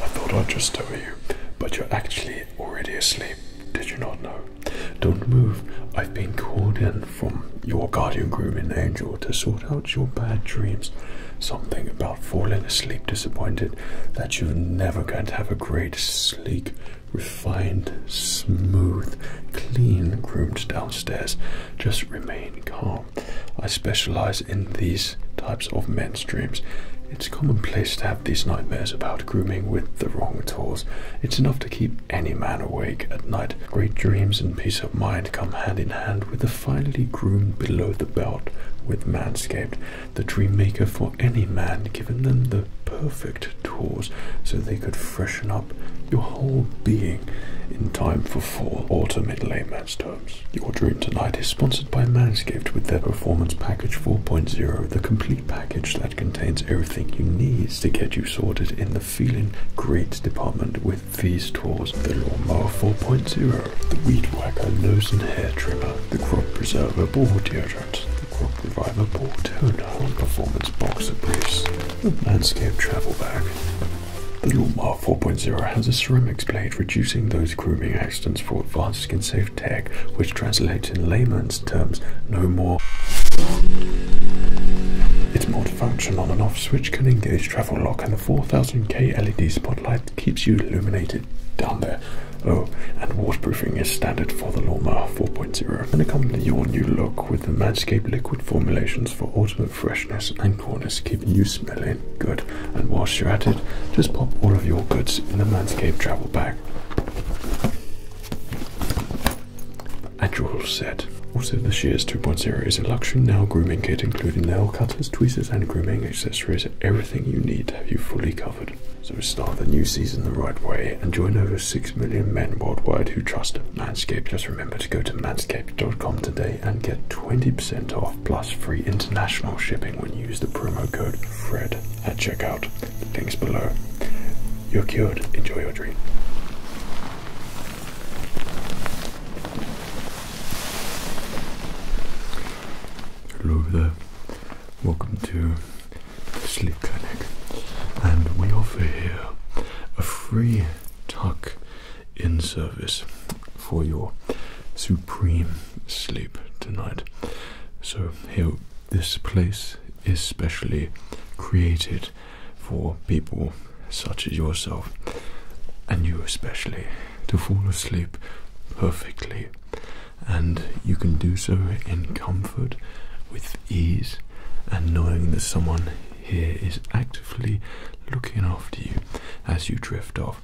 I thought I'd just over you, but you're actually already asleep. Did you not know? Don't move. I've been called in from your guardian grooming angel to sort out your bad dreams. Something about falling asleep disappointed that you're never going to have a great sleep refined, smooth, clean groomed downstairs. Just remain calm. I specialize in these types of men's dreams. It's commonplace to have these nightmares about grooming with the wrong tools. It's enough to keep any man awake at night. Great dreams and peace of mind come hand in hand with the finely groomed below the belt with Manscaped, the dream maker for any man, giving them the perfect tours, so they could freshen up your whole being in time for fall, autumnal in layman's terms. Your dream tonight is sponsored by Manscaped with their Performance Package 4.0, the complete package that contains everything you need to get you sorted in the feeling great department with these tours, The Lawnmower 4.0, the Weed Whacker Nose and Hair Trimmer, the Crop Preserver Ball Deodorant, the Crop Reviver Bordeaux Home Performance Boxer Briefs, the Landscape Travel Bag. The Lulmar 4.0 has a ceramic blade, reducing those grooming accidents for advanced skin safe tech, which translates in layman's terms no more. Its multifunction on and off switch can engage travel lock, and the 4000K LED spotlight keeps you illuminated down there. Oh, and waterproofing is standard for the Lulmar 4.0. And i I'm going to your new look with the Manscaped liquid formulations for ultimate freshness and coolness, keeping you smelling good. And whilst you're at it, just pop all of your goods in the Manscaped travel bag. And you're all set. Also, the Shears 2.0 is a luxury nail grooming kit, including nail cutters, tweezers, and grooming accessories. Everything you need to have you fully covered. So start the new season the right way and join over 6 million men worldwide who trust Manscaped. Just remember to go to manscaped.com today and get 20% off plus free international shipping when you use the promo code FRED at checkout. link's below. You're cured. Enjoy your dream. Hello there. Welcome to Sleep Clinic, and we offer here a free tuck in service for your supreme sleep tonight. So, this place is specially created for people such as yourself, and you especially, to fall asleep perfectly. And you can do so in comfort, with ease, and knowing that someone here is actively looking after you as you drift off.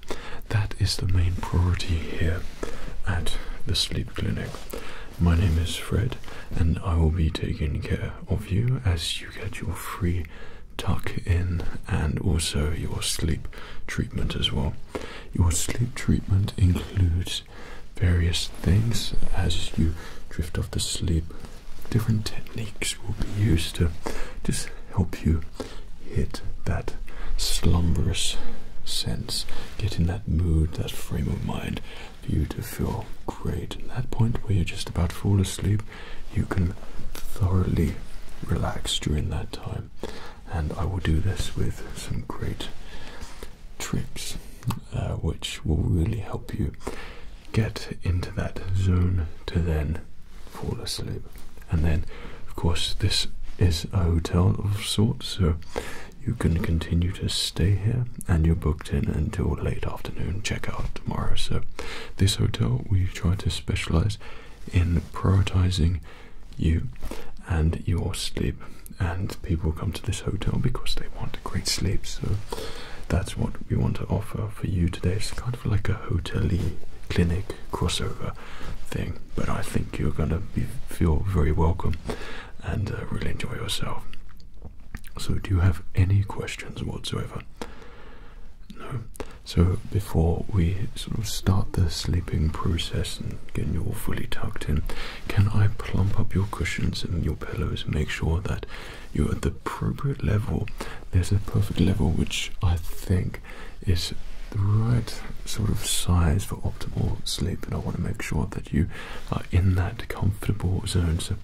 That is the main priority here at the sleep clinic. My name is Fred, and I will be taking care of you as you get your free tuck in and also your sleep treatment as well. Your sleep treatment includes various things as you drift off to sleep. Different techniques will be used to just help you hit that slumberous sense, get in that mood, that frame of mind for you to feel great. At that point where you're just about to fall asleep, you can thoroughly relax during that time. And I will do this with some great tricks uh, which will really help you get into that zone to then fall asleep. And then, of course, this is a hotel of sorts, so you can continue to stay here and you're booked in until late afternoon check out tomorrow. So, this hotel we try to specialize in prioritizing you and your sleep and people come to this hotel because they want a great sleep. So that's what we want to offer for you today. It's kind of like a hotel clinic crossover thing, but I think you're going to feel very welcome and uh, really enjoy yourself. So, do you have any questions whatsoever? No. So, before we sort of start the sleeping process and get you all fully tucked in, can I plump up your cushions and your pillows and make sure that you're at the appropriate level? There's a perfect level which I think is the right sort of size for optimal sleep, and I want to make sure that you are in that comfortable zone. So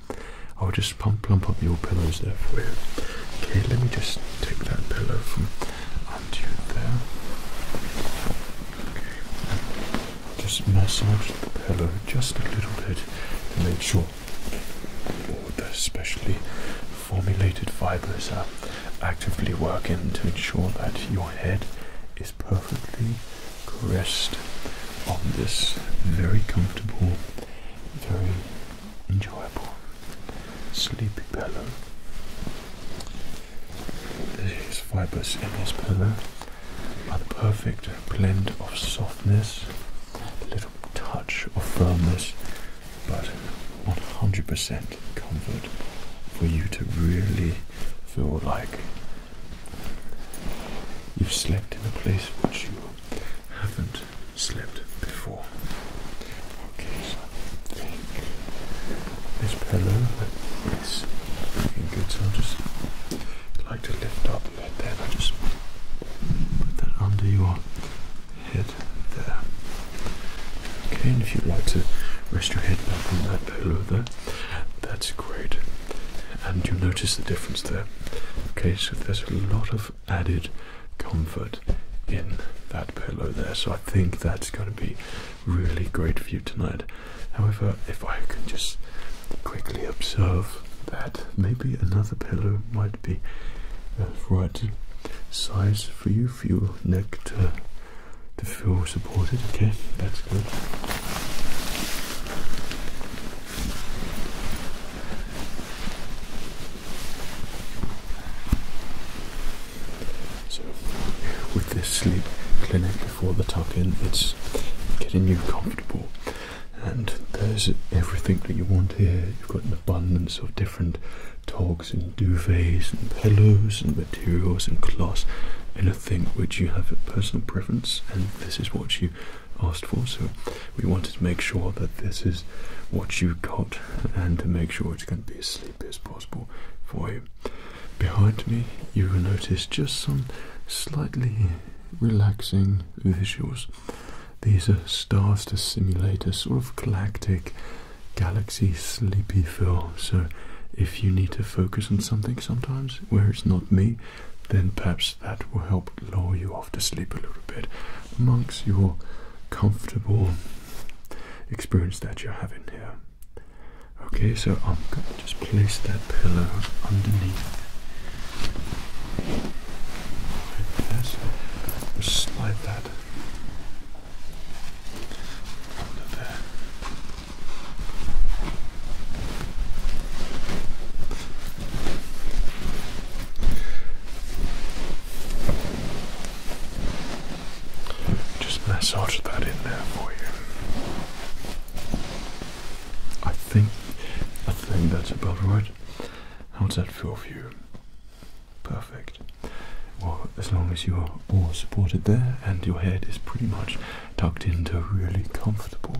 I'll just plump up your pillows there for you. Okay, let me just take that pillow from under you there. Just massage the pillow just a little bit to make sure all the specially formulated fibers are actively working to ensure that your head is perfectly caressed on this very comfortable, very enjoyable sleepy pillow. These fibers in this pillow a perfect blend of softness, a little touch of firmness, but 100% comfort for you to really feel like you've slept in a place which you haven't slept before. Okay, this pillow is looking good, so I'll just like to lift up do that I just put that under your head there. Okay, and if you'd like to rest your head back on that pillow there, that's great. And you notice the difference there. Okay, so there's a lot of added comfort in that pillow there, so I think that's going to be really great for you tonight. However, if I can just quickly observe that maybe another pillow might be the uh, right size for you, for your neck to, to feel supported. Okay, that's good. So, with this sleep clinic before the tuck in, it's getting you comfortable and there's everything that you want here. You've got an abundance of different toggs and duvets and pillows and materials and cloths, anything which you have a personal preference, and this is what you asked for. So we wanted to make sure that this is what you got, and to make sure it's going to be as sleepy as possible for you. Behind me, you will notice just some slightly relaxing visuals. These are stars to simulate a sort of galactic galaxy sleepy feel. So if you need to focus on something sometimes where it's not me, then perhaps that will help lull you off to sleep a little bit amongst your comfortable experience that you're having here. Okay, so I'm just place that pillow underneath. Like this. Just slide that under there. Just massage that in there for you. I think I think that's about right. How does that feel for you? Perfect. Well, as long as you are all supported there and your head is pretty much tucked into a really comfortable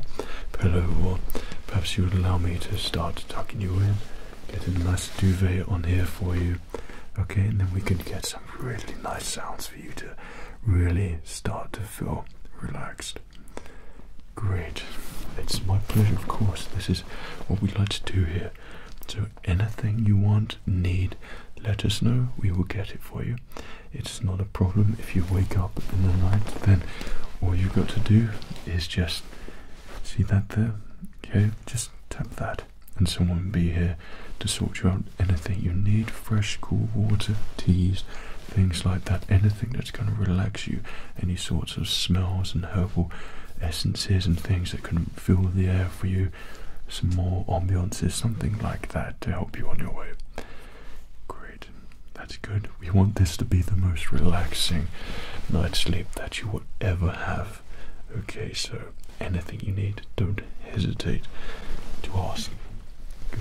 pillow, or perhaps you would allow me to start tucking you in, get a nice duvet on here for you. Okay, and then we can get some really nice sounds for you to really start to feel relaxed. Great. It's my pleasure, of course. This is what we would like to do here. So anything you want, need, let us know. We will get it for you. It's not a problem if you wake up in the night. Then all you've got to do is just see that there. Okay, just tap that, and someone will be here to sort you out. Anything you need: fresh, cool water, teas, things like that, anything that's going to relax you, any sorts of smells and herbal essences and things that can fill the air for you, some more ambiances, something like that to help you on your way. Great, that's good. We want this to be the most relaxing night's sleep that you will ever have. Okay, sir. anything you need, don't hesitate to ask. Good.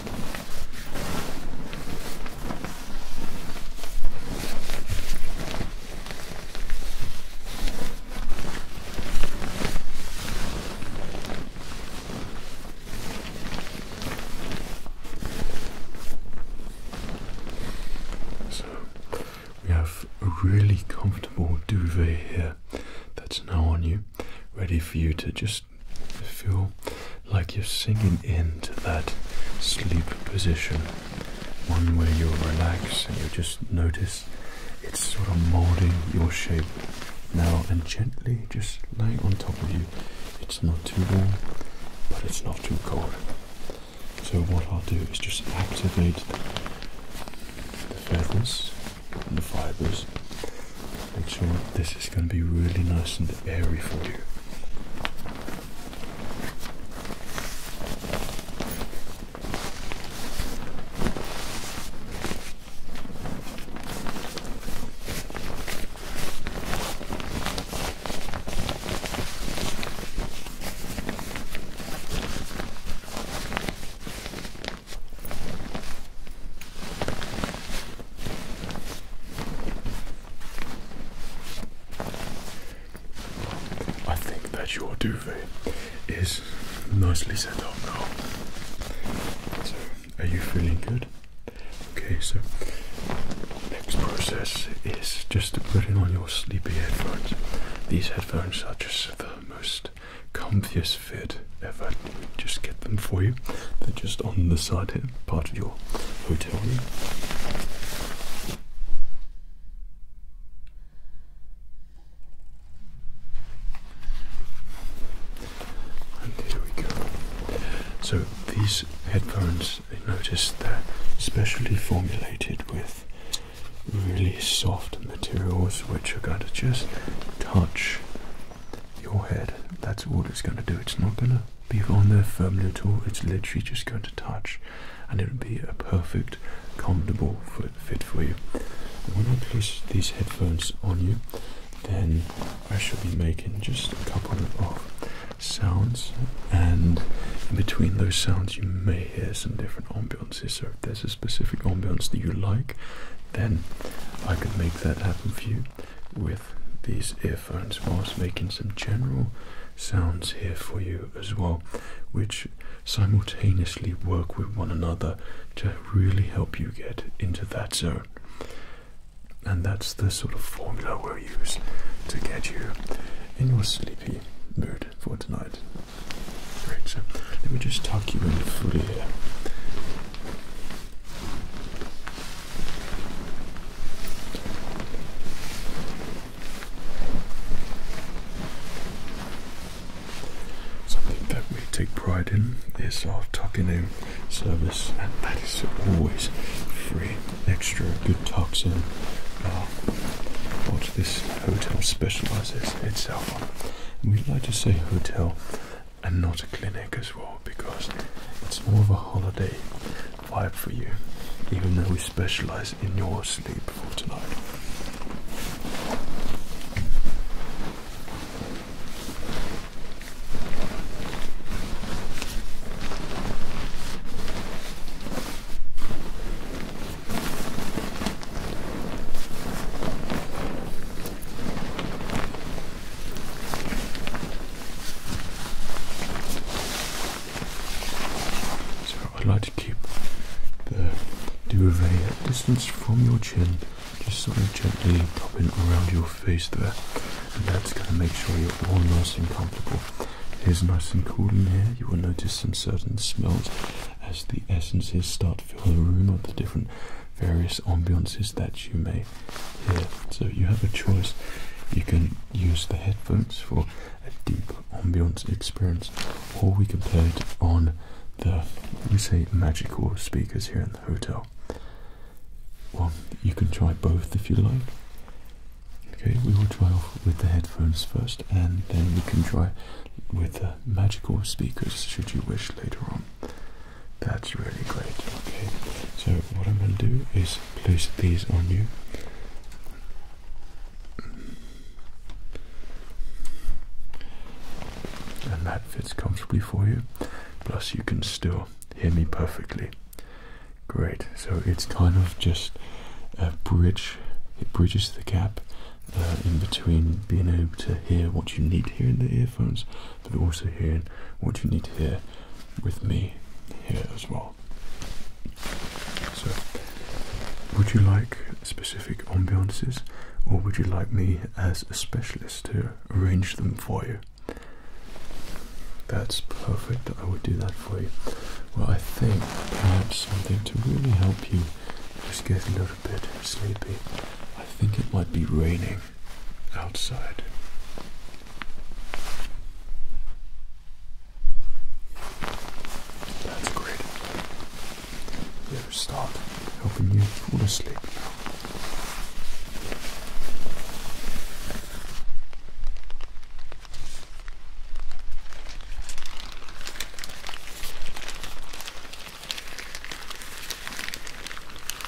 So we have a really comfortable duvet here that's now on you, ready for you to just feel like you're singing into that sleep position, one way you relax, and you just notice it's sort of molding your shape now and gently just lay on top of you. It's not too warm, but it's not too cold. So what I'll do is just activate the feathers and the fibers Make sure this is going to be really nice and airy for you. I think that your duvet is nicely set up now. So, are you feeling good? Okay, so next process is just to put in on your sleepy headphones. These headphones are just the most comfiest fit ever just get them for you. They're just on the side here, part of your hotel room. And here we go. So these headphones, I noticed they're specially formulated with really soft materials which are going to just touch your head. That's all it's going to do. It's not going to be on there firmly at all. It's literally just going to touch, and it will be a perfect, comfortable fit for you. When I place these headphones on you, then I shall be making just a couple of sounds, and in between those sounds, you may hear some different ambiances. So if there's a specific ambiance that you like, then I can make that happen for you with these earphones whilst making some general sounds here for you as well, which simultaneously work with one another to really help you get into that zone. And that's the sort of formula we'll use to get you in your sleepy mood for tonight. Great, so let me just tuck you in fully here. Something that we take pride in is our tucking in service, and that is always free. Extra good tucks in. Uh, this hotel specialises itself on. We'd like to say hotel and not a clinic as well because it's more of a holiday vibe for you, even though we specialize in your sleep for tonight. So I'd like to keep the duvet at distance from your chin, just sort of gently popping around your face there. And that's going to make sure you're all nice and comfortable. It is nice and cool in here. You will notice some certain smells as the essences start to fill the room of the different various ambiances that you may hear. So you have a choice. You can use the headphones for a deep ambience experience, or we can play it on the we say magical speakers here in the hotel. Well, you can try both if you like. Okay, we will try with the headphones first, and then we can try with the magical speakers should you wish later on. That's really great. Okay, so what I'm going to do is place these on you. And that fits comfortably for you. Plus, you can still hear me perfectly. Great. So it's kind of just a bridge. It bridges the gap uh, in between being able to hear what you need to in the earphones but also hearing what you need to hear with me here as well. So, would you like specific ambiances, or would you like me as a specialist to arrange them for you? That's perfect. I would do that for you. Well, I think perhaps something to really help you just get a little bit sleepy. I think it might be raining outside. That's great. Better start helping you fall asleep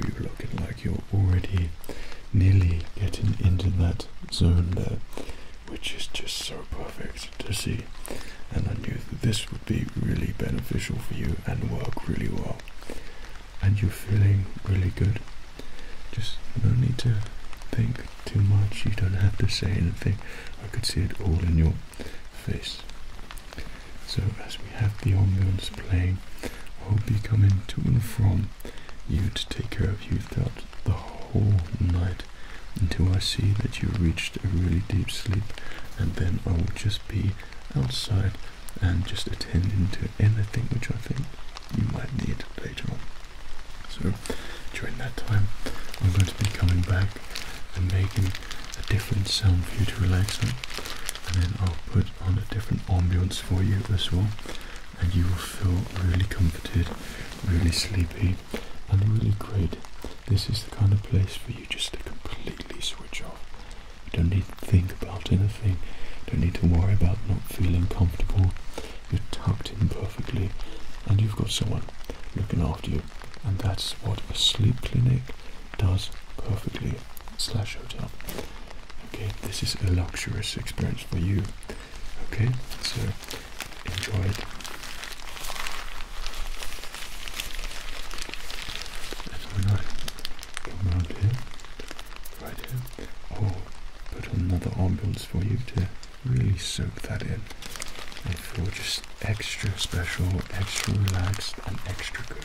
you're looking like you're already nearly getting into that zone there, which is just so perfect to see. And I knew this would be really beneficial for you and work really well. And you're feeling really good. Just no need to think too much. You don't have to say anything. I could see it all in your face. So as we have the ambience playing, I'll be coming to and from you to take care of you throughout the whole night until I see that you reached a really deep sleep and then I will just be outside and just attending to anything which I think you might need later on. So during that time, I'm going to be coming back and making a different sound for you to relax on, and then I'll put on a different ambience for you as well, and you will feel really comforted, really sleepy, and really great. This is the kind of place for you just to completely switch off. You don't need to think about anything. Don't need to worry about not feeling comfortable. You're tucked in perfectly, and you've got someone looking after you. And that's what a sleep clinic does perfectly, slash hotel. Okay, this is a luxurious experience for you. Okay, so enjoy it. And when I come around here, right here, oh, put another ambience for you to really soak that in and feel just extra special, extra relaxed, and extra good.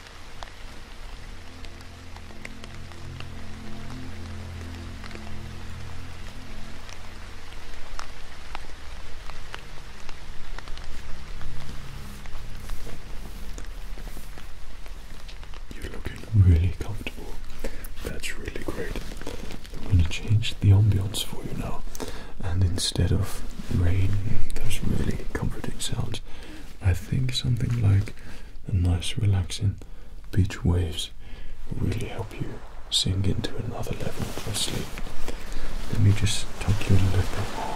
You're looking really comfortable. That's really great. I'm going to change the ambience for you now. And instead of rain, those really comforting sounds, I think something like a nice relaxing beach waves will really help you sink into another level of sleep. Let me just tuck you a little bit more.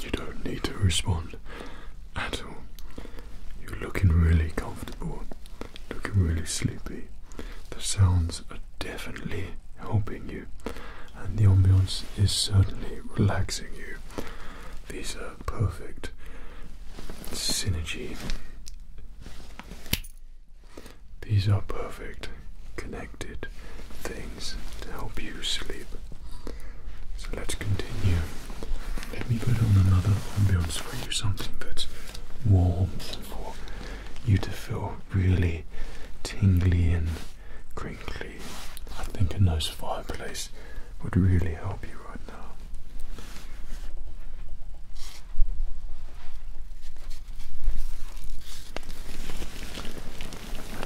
You don't need to respond at all. You're looking really comfortable, looking really sleepy. The sounds are definitely helping you, and the ambience is certainly relaxing you. These are perfect synergy these are perfect connected things to help you sleep. So let's continue. Let me put on another ambient for you, something that's warm for you to feel really tingly and crinkly. I think a nice fireplace would really help you right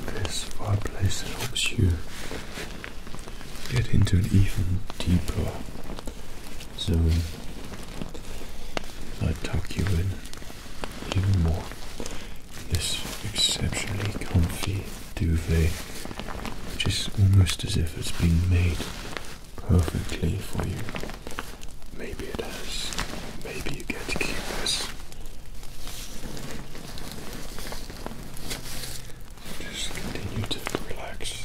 this fireplace helps you get into an even deeper zone. I tuck you in even more. This exceptionally comfy duvet, which is almost as if it's been made perfectly for you. Maybe it does. Maybe you get to keep this. Just continue to relax.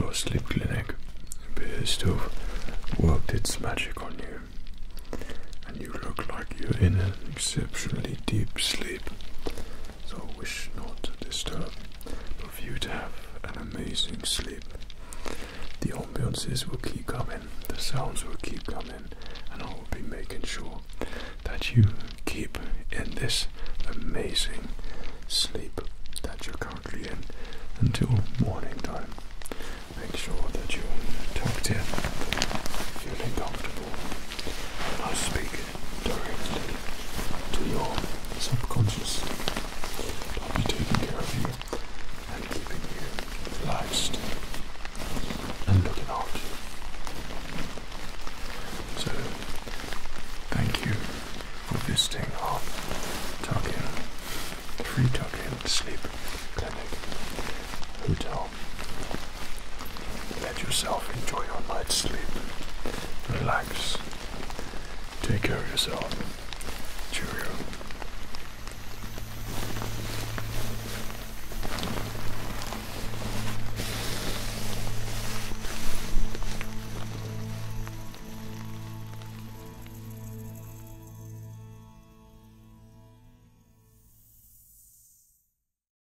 Our sleep clinic appears to have worked its magic on you, and you look like you're in an exceptionally deep sleep so I wish not to disturb, but for you to have an amazing sleep. The ambulances will keep coming, the sounds will keep coming, and I will be making sure that you keep in this amazing sleep that you're currently in until morning time. Make sure that you're tucked in, feeling comfortable. I speak directly to your subconscious I'll be taking care of you and keeping you still and looking after you. So, thank you for visiting our tuck free tuck sleep clinic hotel let yourself enjoy your night's sleep. Relax. Take care of yourself. Cheerio.